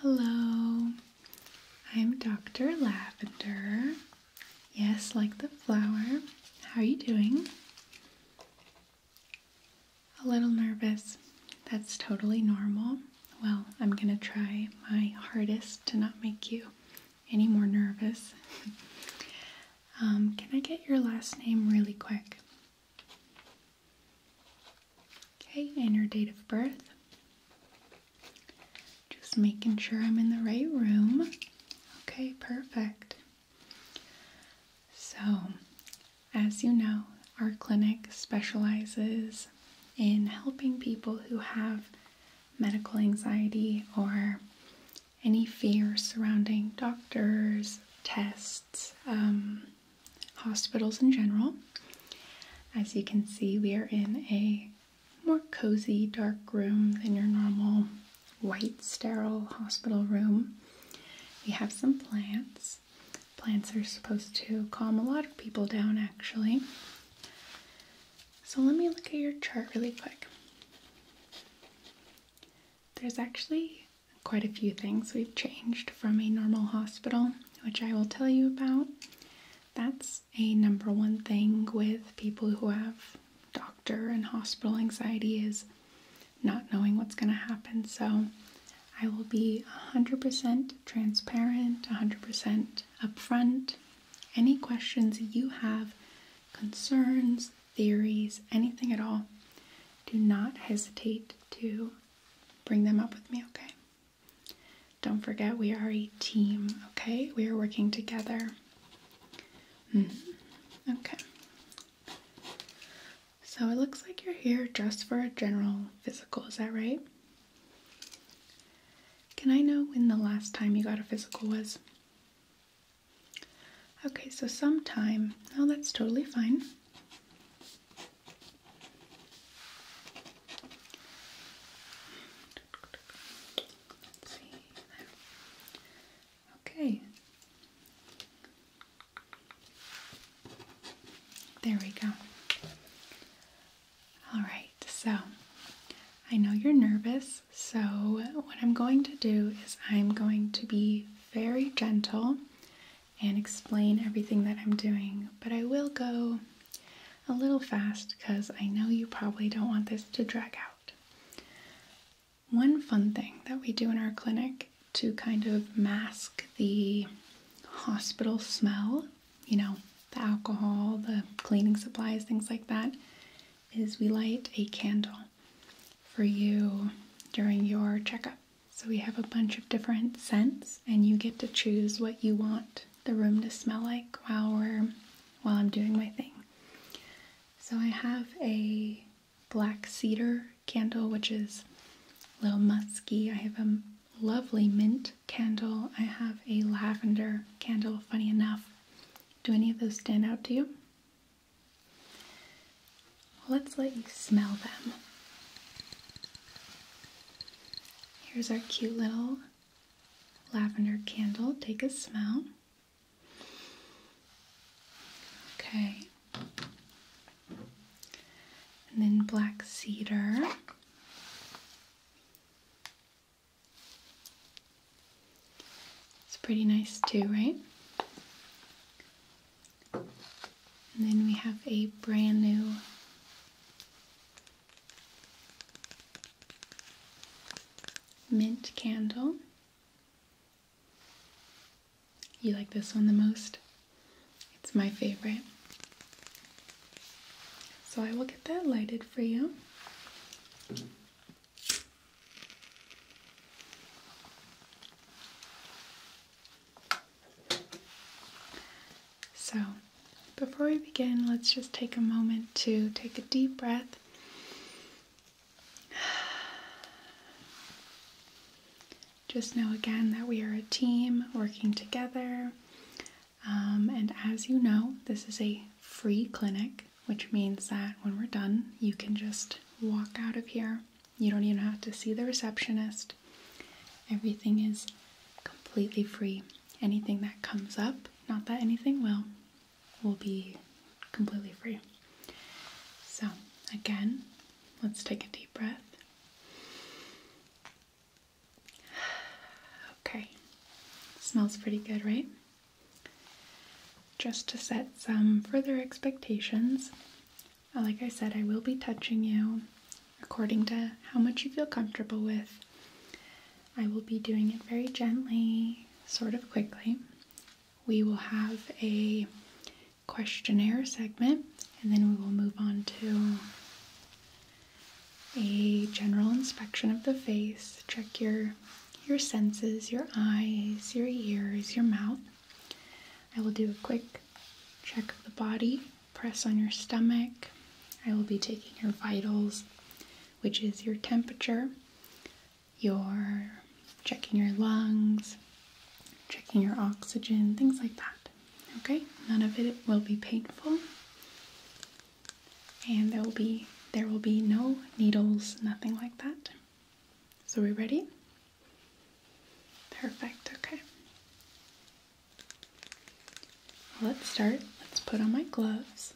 Hello, I'm Dr. Lavender. Yes, like the flower. How are you doing? A little nervous. That's totally normal. Well, I'm gonna try my hardest to not make you any more nervous. Um, can I get your last name really quick? Okay, and your date of birth. Just making sure I'm in the right room. Okay, perfect. So, as you know, our clinic specializes in helping people who have medical anxiety or any fear surrounding doctors, tests, um, hospitals in general. As you can see, we are in a more cozy, dark room than your normal white, sterile hospital room. We have some plants. Plants are supposed to calm a lot of people down, actually. So let me look at your chart really quick. There's actually quite a few things we've changed from a normal hospital which I will tell you about. That's a number one thing with people who have doctor and hospital anxiety is not knowing what's going to happen. So I will be 100% transparent, 100% upfront. Any questions you have, concerns, theories, anything at all, do not hesitate to bring them up with me, okay? Don't forget, we are a team, okay? We are working together. Mm. Okay. So it looks like you're here just for a general physical, is that right? Can I know when the last time you got a physical was? Okay, so sometime. Oh, that's totally fine. Okay. There we go. All right, so I know you're nervous, so what I'm going to do is I'm going to be very gentle and explain everything that I'm doing, but I will go a little fast because I know you probably don't want this to drag out. One fun thing that we do in our clinic to kind of mask the hospital smell, you know, the alcohol, the cleaning supplies, things like that, is we light a candle for you during your checkup. So we have a bunch of different scents and you get to choose what you want the room to smell like while we're while I'm doing my thing. So I have a black cedar candle which is a little musky. I have a lovely mint candle. I have a lavender candle, funny enough. Do any of those stand out to you? let's let you smell them. Here's our cute little lavender candle. Take a smell. Okay. And then black cedar. It's pretty nice too, right? And then we have a brand new mint candle. You like this one the most? It's my favorite. So I will get that lighted for you. So, before we begin, let's just take a moment to take a deep breath. Just know again that we are a team working together. Um, and as you know, this is a free clinic, which means that when we're done, you can just walk out of here. You don't even have to see the receptionist. Everything is completely free. Anything that comes up, not that anything will, will be completely free. So, again, let's take a deep breath. Okay, smells pretty good, right? Just to set some further expectations, like I said, I will be touching you according to how much you feel comfortable with. I will be doing it very gently, sort of quickly. We will have a questionnaire segment and then we will move on to a general inspection of the face. Check your your senses, your eyes, your ears, your mouth. I will do a quick check of the body press on your stomach. I will be taking your vitals, which is your temperature, your checking your lungs, checking your oxygen, things like that. Okay, none of it will be painful. And there will be there will be no needles, nothing like that. So we ready? Perfect, okay. Let's start. Let's put on my gloves.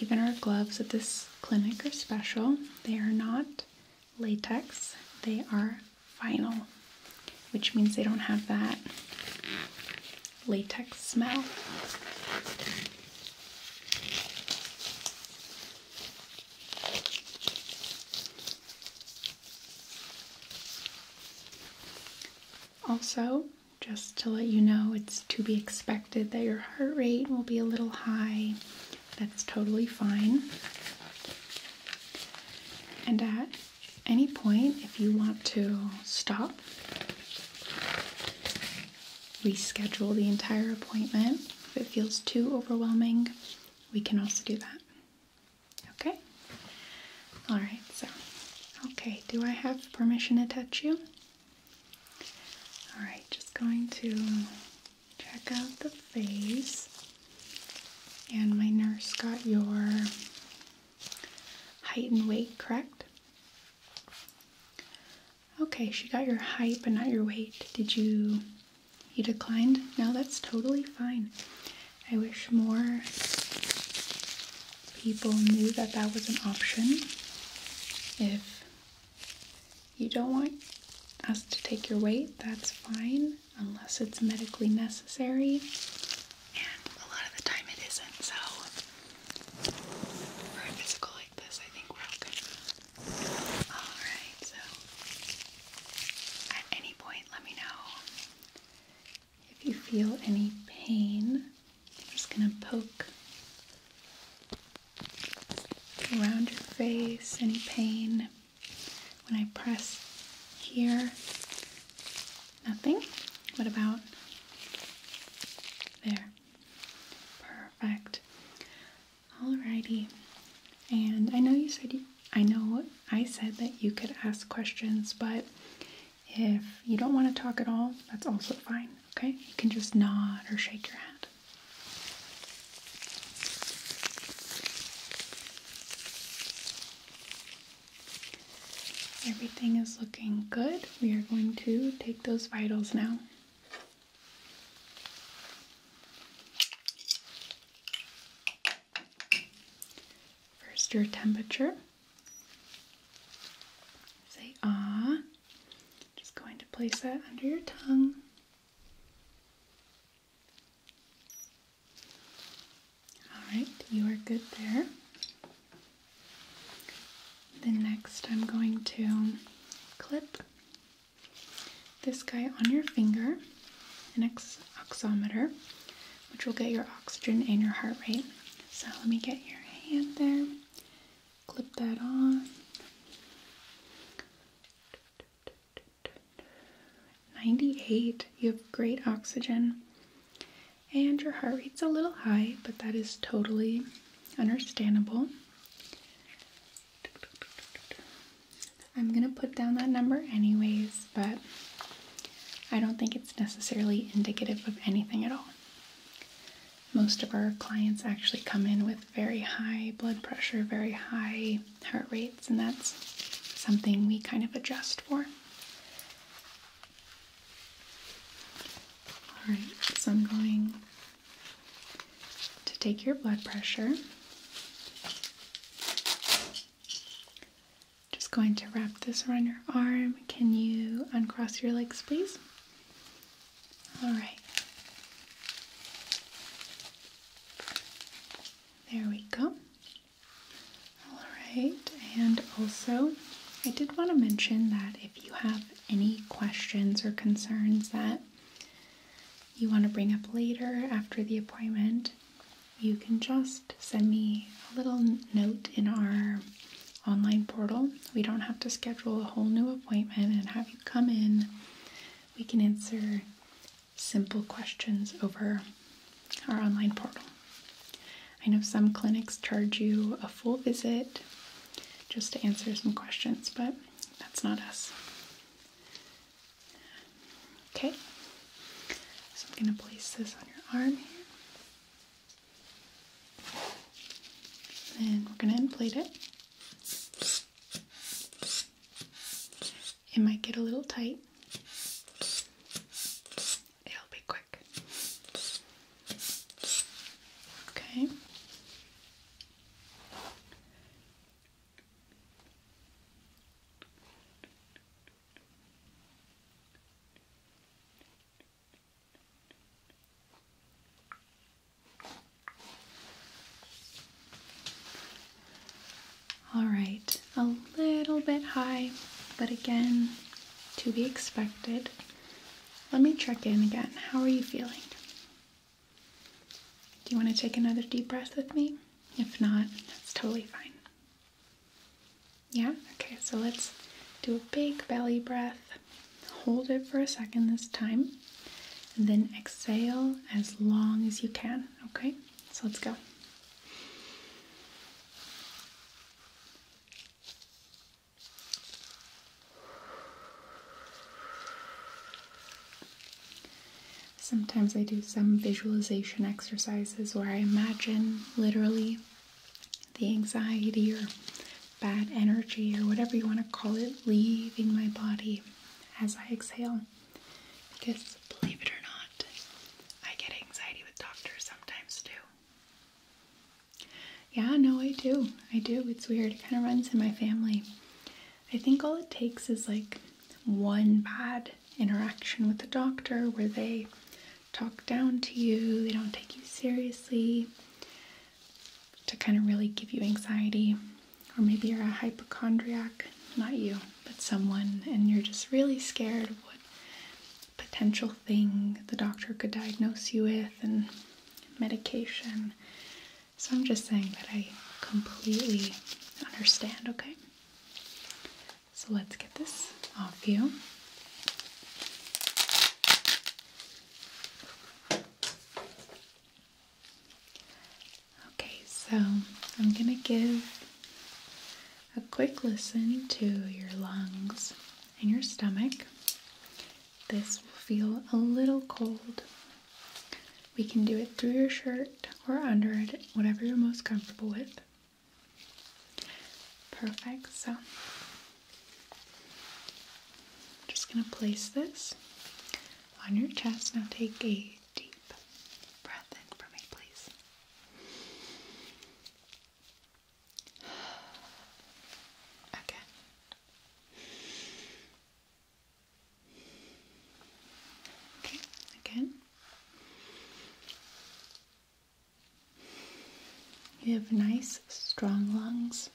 Even our gloves at this clinic are special. They are not latex, they are vinyl, which means they don't have that latex smell. Also, just to let you know, it's to be expected that your heart rate will be a little high. That's totally fine. And at any point, if you want to stop, reschedule the entire appointment. If it feels too overwhelming, we can also do that. Okay? Alright, so. Okay, do I have permission to touch you? Alright, just going to check out the face. And my nurse got your height and weight, correct? Okay, she got your height but not your weight. Did you you declined? No, that's totally fine. I wish more people knew that that was an option. If you don't want us to take your weight, that's fine, unless it's medically necessary. And a lot of the time it isn't, so for a physical like this, I think we're all good. Alright, so at any point let me know if you feel any pain. I'm just gonna poke around your face, any pain. When I press here, nothing. What about there? Perfect. Alrighty. And I know you said you I know I said that you could ask questions, but if you don't want to talk at all, that's also fine, okay? You can just nod or shake your head. Everything is looking good. We are going to take those vitals now. First, your temperature. Say ah. Just going to place that under your tongue. All right, you are good there. Then next, I'm going to clip this guy on your finger, an oximeter, which will get your oxygen and your heart rate. So let me get your hand there, clip that on. Ninety-eight. You have great oxygen, and your heart rate's a little high, but that is totally understandable. I'm gonna put down that number anyways, but I don't think it's necessarily indicative of anything at all. Most of our clients actually come in with very high blood pressure, very high heart rates, and that's something we kind of adjust for. Alright, so I'm going to take your blood pressure. Just going to wrap this around your arm. Can you uncross your legs, please? All right. There we go. All right, and also I did want to mention that if you have any questions or concerns that you want to bring up later after the appointment, you can just send me a little note in our online portal. We don't have to schedule a whole new appointment and have you come in. We can answer simple questions over our online portal. I know some clinics charge you a full visit just to answer some questions, but that's not us. Okay, so I'm going to place this on your arm here. Then we're going to inflate it. It might get a little tight. It'll be quick. Okay. All right, a little bit high, but again, to be expected. Let me check in again. How are you feeling? Do you want to take another deep breath with me? If not, that's totally fine. Yeah? Okay, so let's do a big belly breath. Hold it for a second this time. And then exhale as long as you can. Okay? So let's go. Sometimes I do some visualization exercises where I imagine literally the anxiety or bad energy or whatever you want to call it leaving my body as I exhale. Because believe it or not, I get anxiety with doctors sometimes too. Yeah, no, I do. I do. It's weird. It kind of runs in my family. I think all it takes is like one bad interaction with the doctor where they talk down to you, they don't take you seriously, to kind of really give you anxiety. Or maybe you're a hypochondriac, not you, but someone, and you're just really scared of what potential thing the doctor could diagnose you with and medication. So I'm just saying that I completely understand, okay? So let's get this off you. Okay, so I'm gonna give a quick listen to your lungs and your stomach. This will feel a little cold. We can do it through your shirt or under it, whatever you're most comfortable with. Perfect. So I'm just going to place this on your chest. Now take a deep breath in for me, please. Okay. Okay, again. You have nice, strong lungs.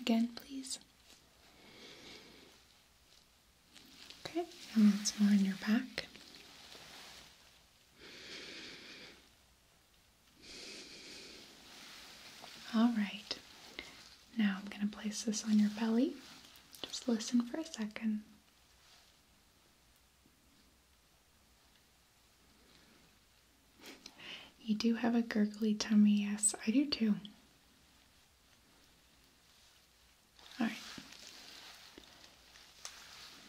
Again, please. Okay, and once more on your back. All right, now I'm going to place this on your belly. Just listen for a second. You do have a gurgly tummy, yes, I do too. All right,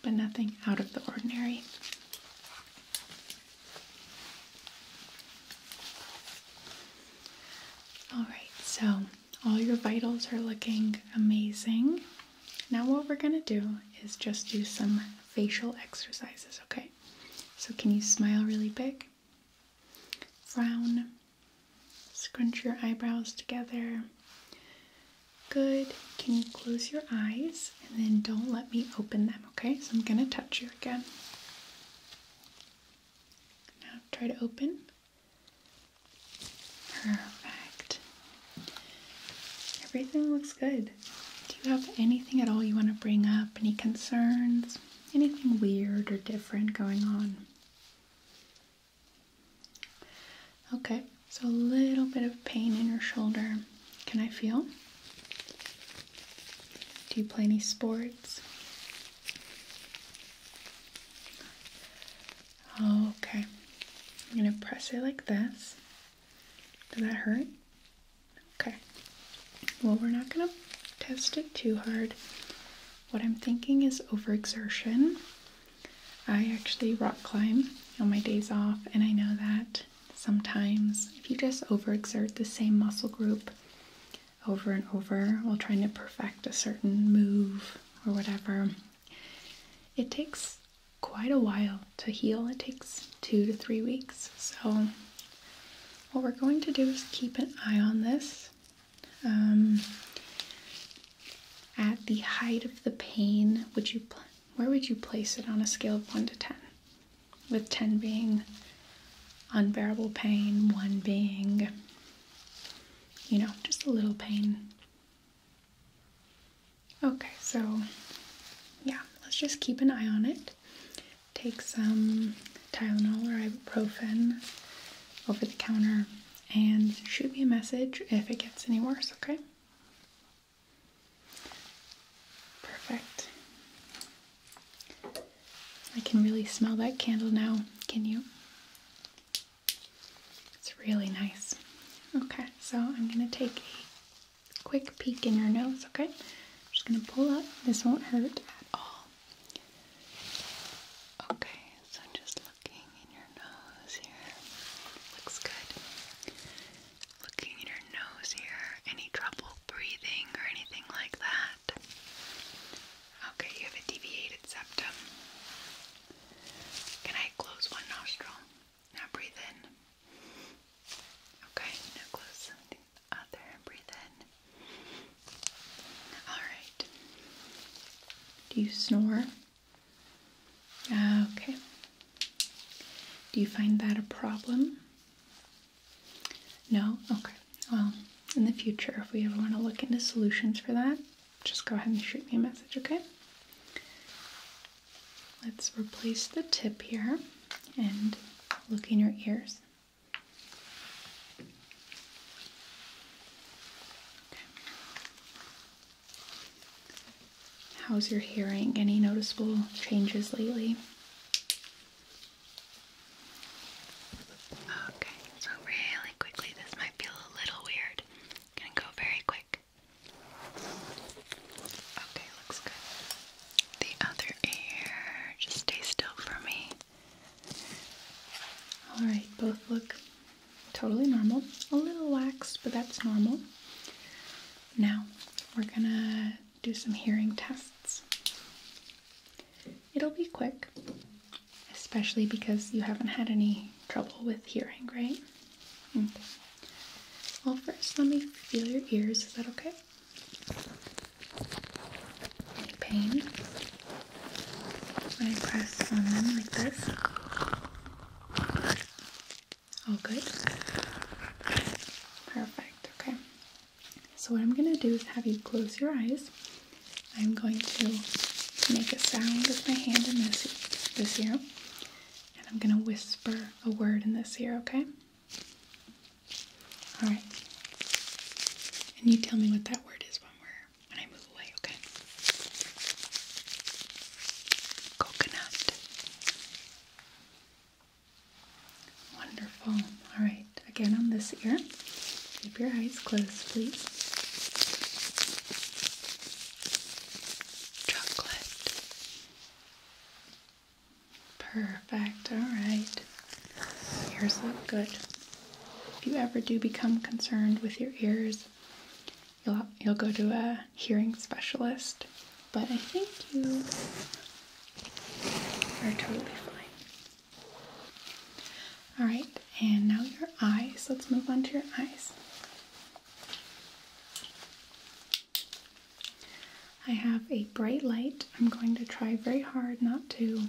but nothing out of the ordinary. All right, so all your vitals are looking amazing. Now what we're gonna do is just do some facial exercises, okay? So can you smile really big? Frown. Scrunch your eyebrows together. Good. Can you close your eyes and then don't let me open them, okay? So I'm gonna touch you again. Now try to open. Perfect. Everything looks good. Do you have anything at all you want to bring up? Any concerns? Anything weird or different going on? Okay, so a little bit of pain in your shoulder. Can I feel? Do you play any sports? Oh, okay. I'm going to press it like this. Does that hurt? Okay. Well, we're not going to test it too hard. What I'm thinking is overexertion. I actually rock climb on my days off, and I know that sometimes if you just overexert the same muscle group over and over while trying to perfect a certain move or whatever, it takes quite a while to heal, it takes two to three weeks. So, what we're going to do is keep an eye on this. Um, at the height of the pain, would you where would you place it on a scale of 1 to 10? With 10 being unbearable pain, 1 being, you know, just a little pain. Okay, so yeah, let's just keep an eye on it. Take some Tylenol or ibuprofen over the counter and shoot me a message if it gets any worse, okay? Perfect. I can really smell that candle now, can you? It's really nice. Okay, so I'm going to take a quick peek in your nose, okay? just going to pull up. This won't hurt at all. Okay, so just looking in your nose here. Looks good. Looking in your nose here. Any trouble breathing or anything like that? Okay, you have a deviated septum. Can I close one nostril? Now breathe in. Okay, now close other and breathe in. Alright. Do you snore? Okay. Do you find that a problem? No? Okay. Well, in the future, if we ever want to look into solutions for that, just go ahead and shoot me a message, okay? Let's replace the tip here and look in your ears. How's your hearing? Any noticeable changes lately? Okay, so really quickly, this might feel a little weird. i go very quick. Okay, looks good. The other ear, just stay still for me. Alright, both look totally normal. A little waxed, but that's normal. Now, we're gonna do some hearing tests. It'll be quick, especially because you haven't had any trouble with hearing, right? Okay. Well, first, let me feel your ears. Is that okay? Any pain? When I press on them like this? All good? Perfect, okay. So what I'm going to do is have you close your eyes. I'm going to make a sound with my hand in this, this ear. And I'm going to whisper a word in this ear, okay? All right. And you tell me what that word is when we're when I move away, okay? Coconut. Wonderful. All right. Again on this ear. Keep your eyes closed, please. Chocolate. Perfect, alright. Ears look good. If you ever do become concerned with your ears, you'll, you'll go to a hearing specialist. But I think you are totally fine. Alright, and now your eyes. Let's move on to your eyes. I have a bright light. I'm going to try very hard not to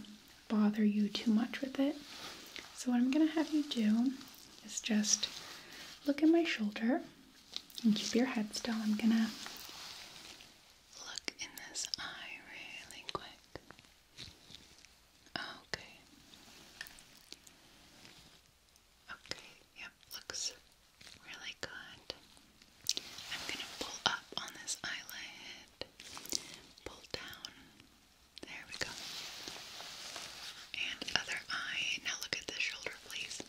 bother you too much with it. So, what I'm going to have you do is just look at my shoulder and keep your head still. I'm going to look in this eye really quick. Okay. Okay, yep, looks really good. I'm gonna pull up on this eyelid, pull down. There we go. And other eye. Now look at this shoulder, please.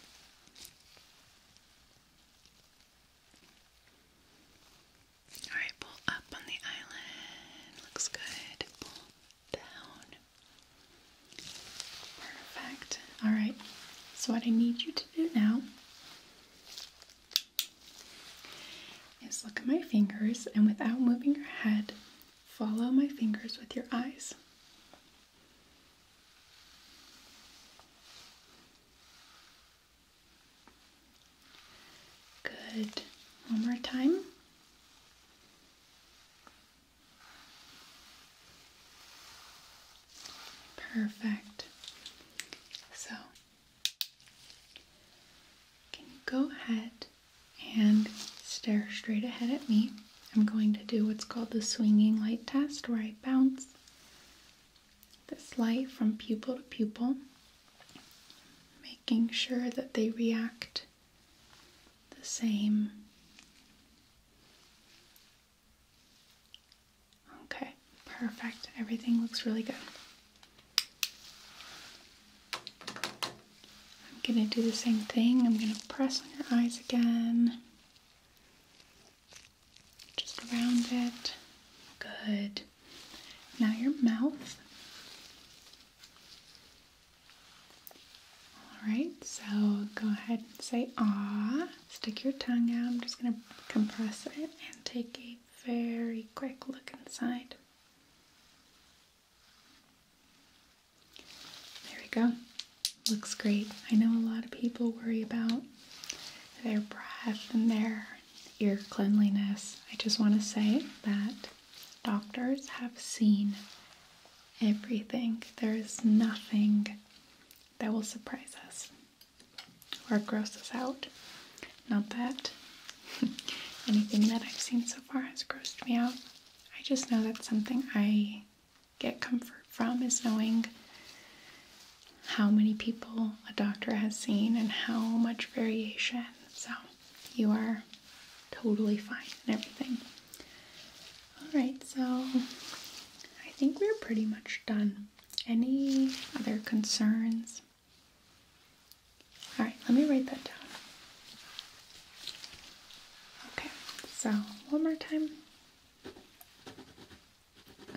Alright, pull up on the eyelid. Looks good. Pull down. Perfect. All right. So, what I need you to do now is look at my fingers and without moving your head, follow my fingers with your eyes. Good. One more time. Perfect. So, can you go ahead and stare straight ahead at me? I'm going to do what's called the swinging light test, where I bounce this light from pupil to pupil, making sure that they react the same Okay, perfect. Everything looks really good. I'm gonna do the same thing. I'm gonna press on your eyes again. Just around it. Good. Now your mouth. All right, so go ahead and say ah. Stick your tongue out. I'm just going to compress it and take a very quick look inside. There we go. Looks great. I know a lot of people worry about their breath and their ear cleanliness. I just want to say that doctors have seen everything. There is nothing that will surprise us or gross us out. Not that anything that I've seen so far has grossed me out. I just know that something I get comfort from is knowing how many people a doctor has seen and how much variation. So you are totally fine and everything. All right, so I think we're pretty much done. Any other concerns? All right, let me write that down. Okay, so one more time.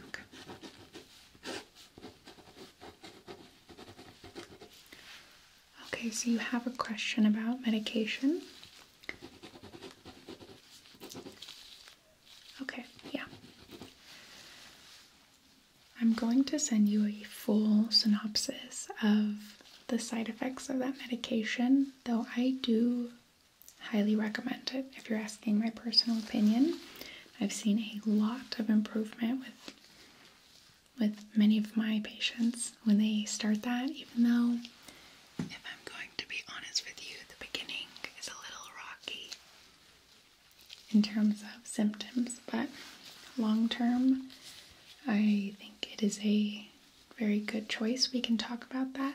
Okay. Okay, so you have a question about medication. Okay, yeah. I'm going to send you a full synopsis of the side effects of that medication, though I do highly recommend it if you're asking my personal opinion. I've seen a lot of improvement with with many of my patients when they start that even though if I'm going to be honest with you, the beginning is a little rocky in terms of symptoms, but long term, I think it is a very good choice. We can talk about that.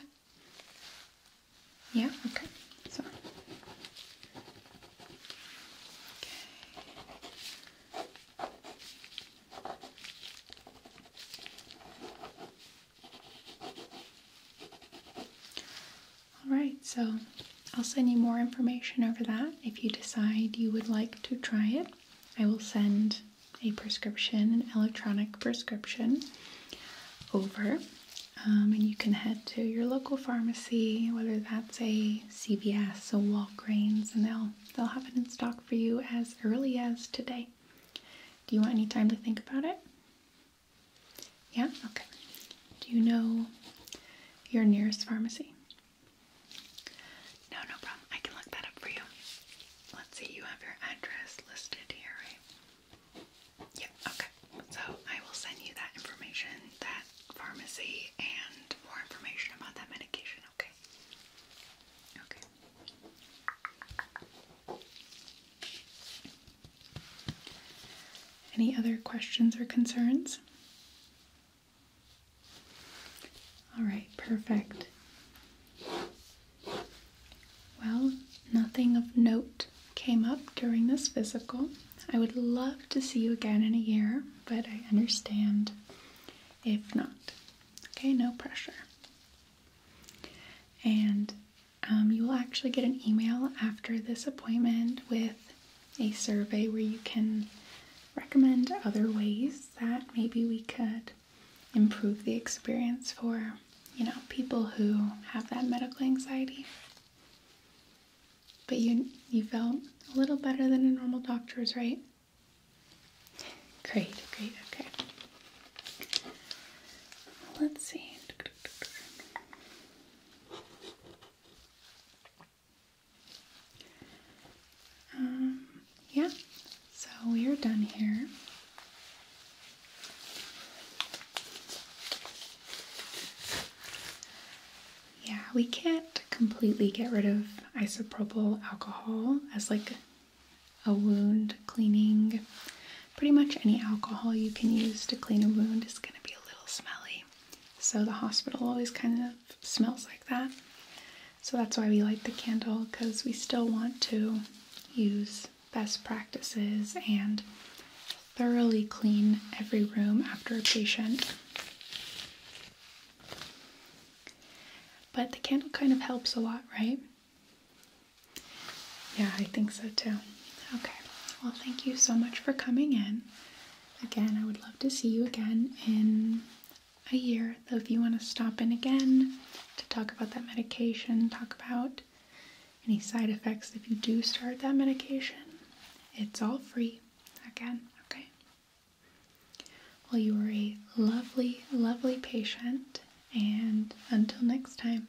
Yeah, okay. So, okay. All right, so I'll send you more information over that. If you decide you would like to try it, I will send a prescription, an electronic prescription over. Um, and you can head to your local pharmacy, whether that's a CVS, a Walgreens, and they'll they'll have it in stock for you as early as today. Do you want any time to think about it? Yeah? Okay. Do you know your nearest pharmacy? No, no problem. I can look that up for you. Let's see, you have your address listed here, right? yeah, okay. So I will send you that information, that pharmacy, and more information about that medication, okay? Okay. Any other questions or concerns? All right, perfect. Well, nothing of note came up during this physical. I would love to see you again in a year, but I understand if not. Okay, no pressure. And um, you will actually get an email after this appointment with a survey where you can recommend other ways that maybe we could improve the experience for you know people who have that medical anxiety but you you felt a little better than a normal doctor's right great great okay let's see um, yeah, so we are done here. Yeah, we can't completely get rid of isopropyl alcohol as like a wound cleaning. Pretty much any alcohol you can use to clean a wound is going to be a little smelly. So the hospital always kind of smells like that. So that's why we light the candle because we still want to use best practices and thoroughly clean every room after a patient. But the candle kind of helps a lot, right? Yeah, I think so too. Okay. Well, thank you so much for coming in. Again, I would love to see you again in a year. Though, if you want to stop in again to talk about that medication, talk about any side effects if you do start that medication, it's all free again. Okay. Well, you were a lovely, lovely patient, and until next time.